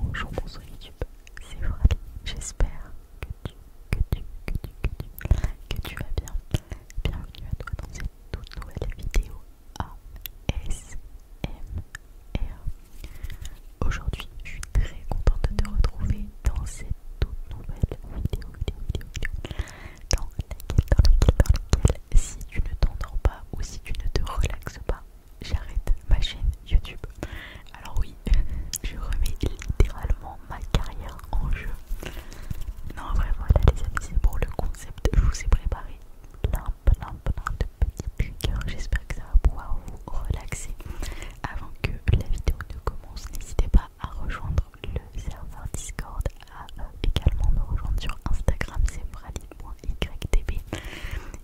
Bonjour, bonsoir YouTube, c'est vrai, J'espère que tu, que tu, que tu, que tu, que tu vas bien. Bienvenue à toi dans cette toute nouvelle vidéo ASMR. Aujourd'hui, je suis très contente de te retrouver dans cette toute nouvelle vidéo, vidéo, vidéo, vidéo dans laquelle, dans laquelle, dans laquelle, si tu ne t'endors pas ou si tu ne te relaxes pas, j'arrête ma chaîne YouTube. Alors oui, je remets littéralement ma carrière en jeu. Non, vraiment voilà les amis, c'est pour le concept. Je vous ai préparé plein, plein, plein de petits triggers. J'espère que ça va pouvoir vous relaxer. Avant que la vidéo ne commence, n'hésitez pas à rejoindre le serveur Discord, à euh, également me rejoindre sur Instagram, c'est moi YTB.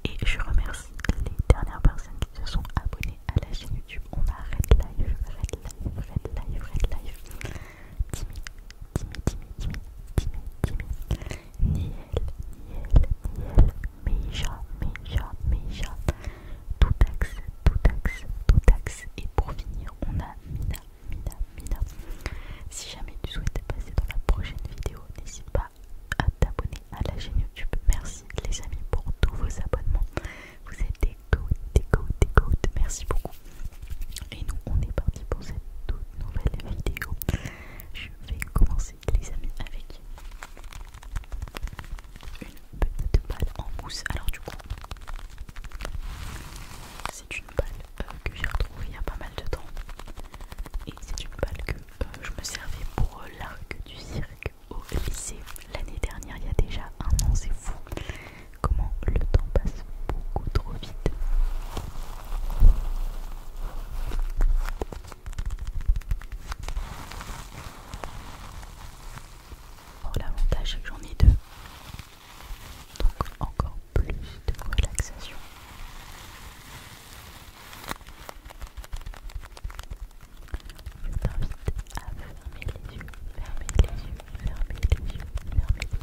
Et je remercie les dernières personnes qui se sont abonnées à la chaîne YouTube. On a Red Live, Red Live, Red Live, Red Live, Timmy, Timmy, Timmy, Timmy, Timmy, Timmy, Niel, Niel, Niel, Meija, Meija, Meija, Toutaxe, Toutaxe, Toutaxe Et pour finir, on a Mina, Mina, Mina. Si jamais tu souhaites passer dans la prochaine vidéo, n'hésite pas à t'abonner à la chaîne YouTube. Merci les amis pour tous vos abonnements. Vous êtes des gouttes, des gouttes, des Merci beaucoup. Et nous, on est parti pour cette toute nouvelle vidéo. Je vais commencer les amis avec une petite balle en mousse. Alors du coup, c'est une balle euh, que j'ai retrouvée il y a pas mal de temps c'est une balle que euh, je me servais pour la euh, l'arc du cirque au lycée l'année dernière, il y a déjà un an, c'est fou comment le temps passe beaucoup trop vite. Oh, l'avantage c'est que j'en ai deux, donc encore plus de relaxation. Je t'invite à fermer les yeux, fermer les yeux, fermer les yeux, fermer les yeux.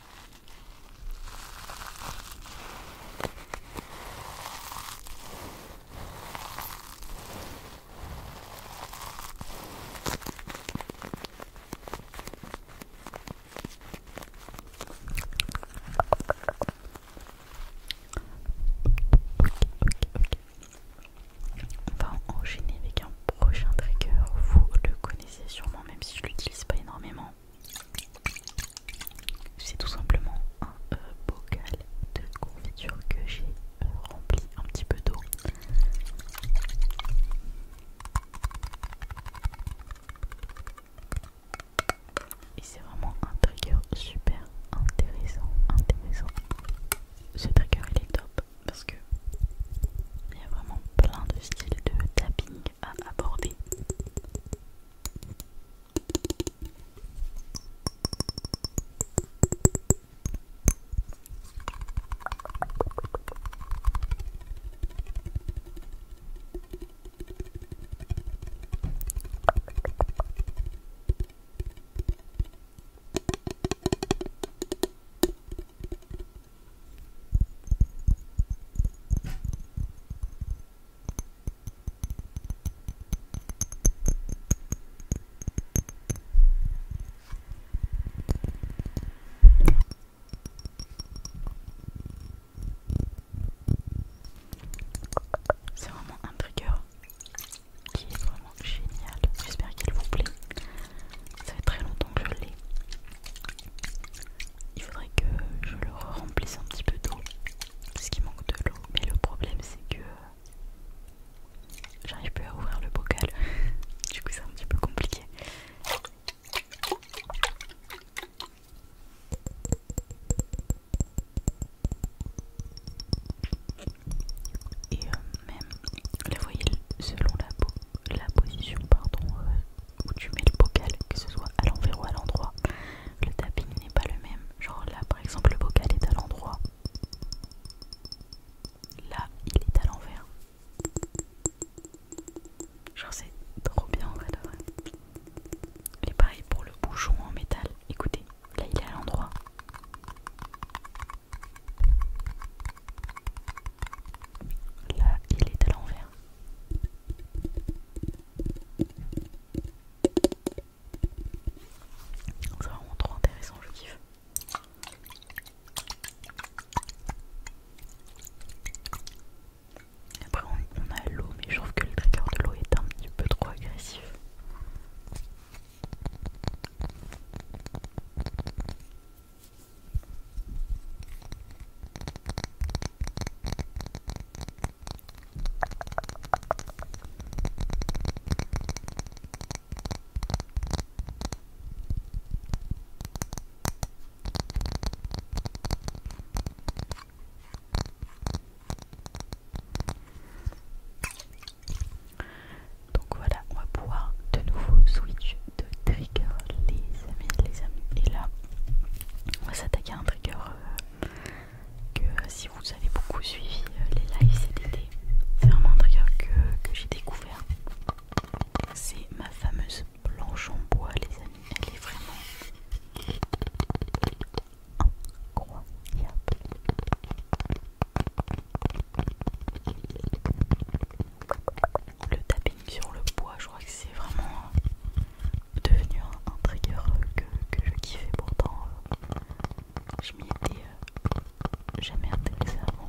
On va enchaîner avec un prochain trigger. Vous le connaissez sûrement, même si je l'utilise pas énormément c'est tout simplement un euh, bocal de confiture que j'ai euh, rempli un petit peu d'eau. Et c'est vraiment un trigger super intéressant, intéressant. Ce trigger il est top parce que y a vraiment plein de styles de tapping à aborder. C'est vraiment un trigger qui est vraiment génial. J'espère qu'il vous plaît. Ça fait très longtemps que je l'ai il faudrait que je le remplisse un petit peu d'eau parce qu'il manque de l'eau mais le problème c'est que j'arrive plus à ouvrir le bocal du coup c'est un petit peu compliqué et euh, même, les voyez selon la, la position pardon, euh, où tu mets le bocal, que ce soit à l'envers ou à l'endroit. Le tapping n'est pas le même. Genre là, par exemple, le bocal est à l'endroit. Là, il est à l'envers. Genre c'est trop bien en fait, vrai. Et pareil pour le bouchon en métal. Écoutez, là il est à l'endroit. Là il est à l'envers. C'est vraiment trop intéressant, je kiffe. Après on a l'eau, mais je trouve que le trigger de l'eau est un petit peu trop agressif. Donc voilà, on va pouvoir de nouveau switch de trigger les amis, les amis. Et là, on va s'attaquer à un trigger euh, que si vous avez beaucoup suivi euh, les lives cet c'est vraiment un trigger que, que j'ai découvert. C'est ma fameuse planche en bois les amis, elle est vraiment Le tapping sur le bois, je crois que c'est vraiment devenu un, que, je kiffais pourtant. je m'y étais euh, jamais intéressé. avant.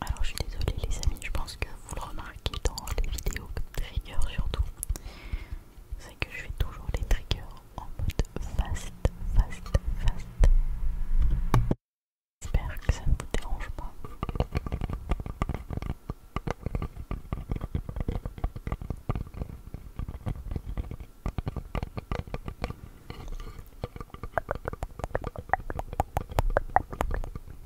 Alors je suis désolée les amis, je pense que vous le remarquez dans les vidéos triggers surtout. C'est que je fais toujours les triggers en mode fast, fast, fast. J'espère que ça ne vous dérange pas.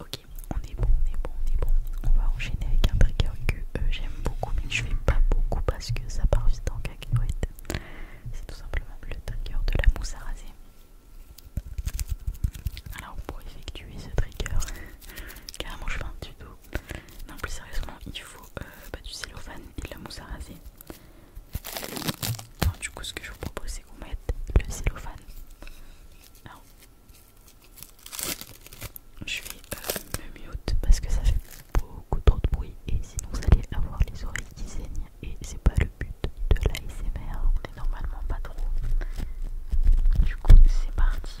Ok, on est bon, on est bon, on est bon. On va enchaîner avec un trigger que euh, j'aime beaucoup, mais que je fais pas beaucoup parce que ça part vite en cacahuète. C'est tout simplement le trigger de la mousse à raser. Alors pour effectuer ce trigger, carrément je fais un tuto. Non plus sérieusement il faut euh, bah, du cellophane et de la mousse à raser. du coup ce que je vous propose c'est qu'on mette le cellophane. je vais euh, me mute parce que ça fait beaucoup trop de bruit et sinon vous allez avoir les oreilles qui saignent et c'est pas le but de l'ASMR normalement pas trop. Du coup, c'est parti.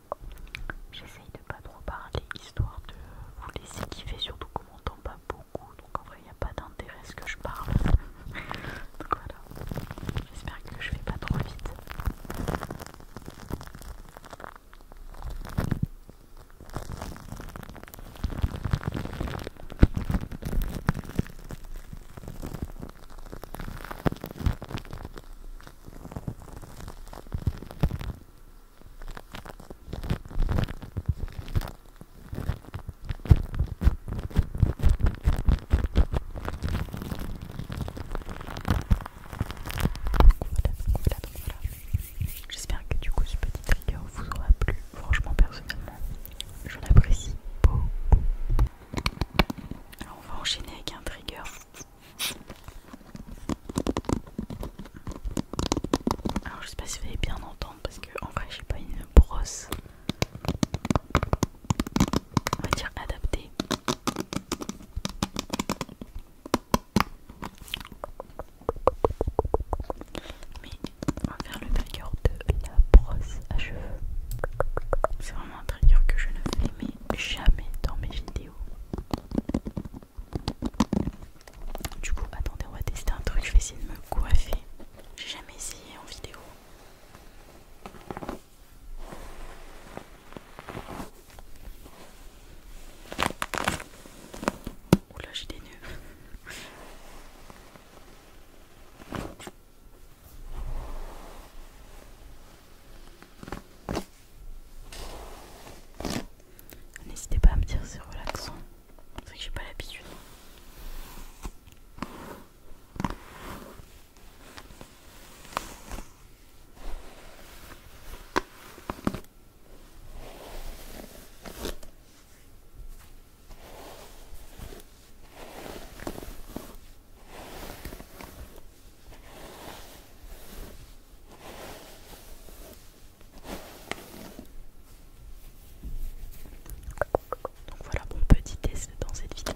J'essaye de pas trop parler histoire de vous laisser kiffer, surtout qu'on m'entend pas beaucoup, donc en vrai il n'y a pas d'intérêt ce que je parle. donc voilà, j'espère que je vais pas trop vite. J'espère que du coup ce petit trigger vous aura plu. Franchement, personnellement, j'en apprécie beaucoup. Alors, on va enchaîner avec un trigger alors je sais pas si vous allez bien entendre parce que en vrai j'ai pas une brosse on va dire adaptée. Mais on va faire le trigger de la brosse à cheveux. C'est vraiment un trigger que je ne fais aimer jamais dans mes vidéos. Du coup, attendez, on va tester un truc. Je vais essayer de me coiffer. J'ai jamais essayé en vidéo. Oula, j'ai des nœuds. N'hésitez pas à me dire c'est relaxant. C'est que j'ai pas l'habitude. Donc voilà mon petit test dans cette vidéo.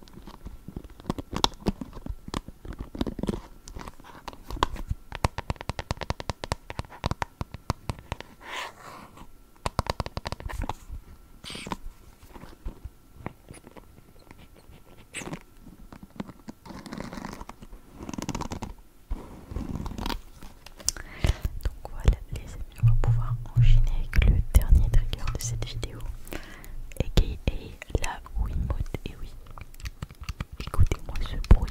Donc voilà les amis, on va pouvoir enchaîner avec le dernier trigger de cette vidéo. Et qui est la Mode Et oui, écoutez-moi ce bruit.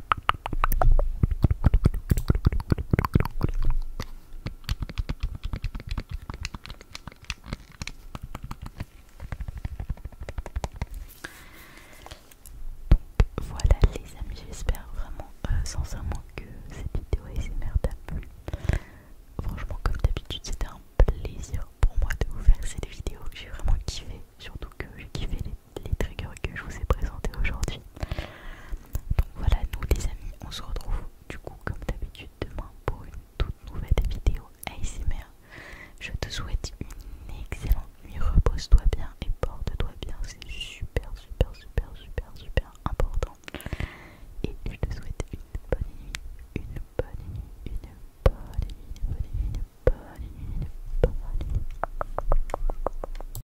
Voilà les amis, j'espère vraiment euh, sincèrement que cette vidéo SMR t'a plu. Franchement comme d'habitude c'était un plaisir pour moi de vous faire cette vidéo, j'ai vraiment kiffé, surtout que j'ai kiffé les les triggers que je vous ai présentés aujourd'hui. Donc voilà, nous les amis, on se retrouve du coup comme d'habitude demain pour une toute nouvelle vidéo ASMR. Je te souhaite une excellente nuit, repose-toi bien et porte-toi bien, c'est super, super, super, super, super important. Et je te souhaite une bonne une bonne nuit, une bonne nuit, une bonne nuit, une bonne nuit. Une bonne nuit.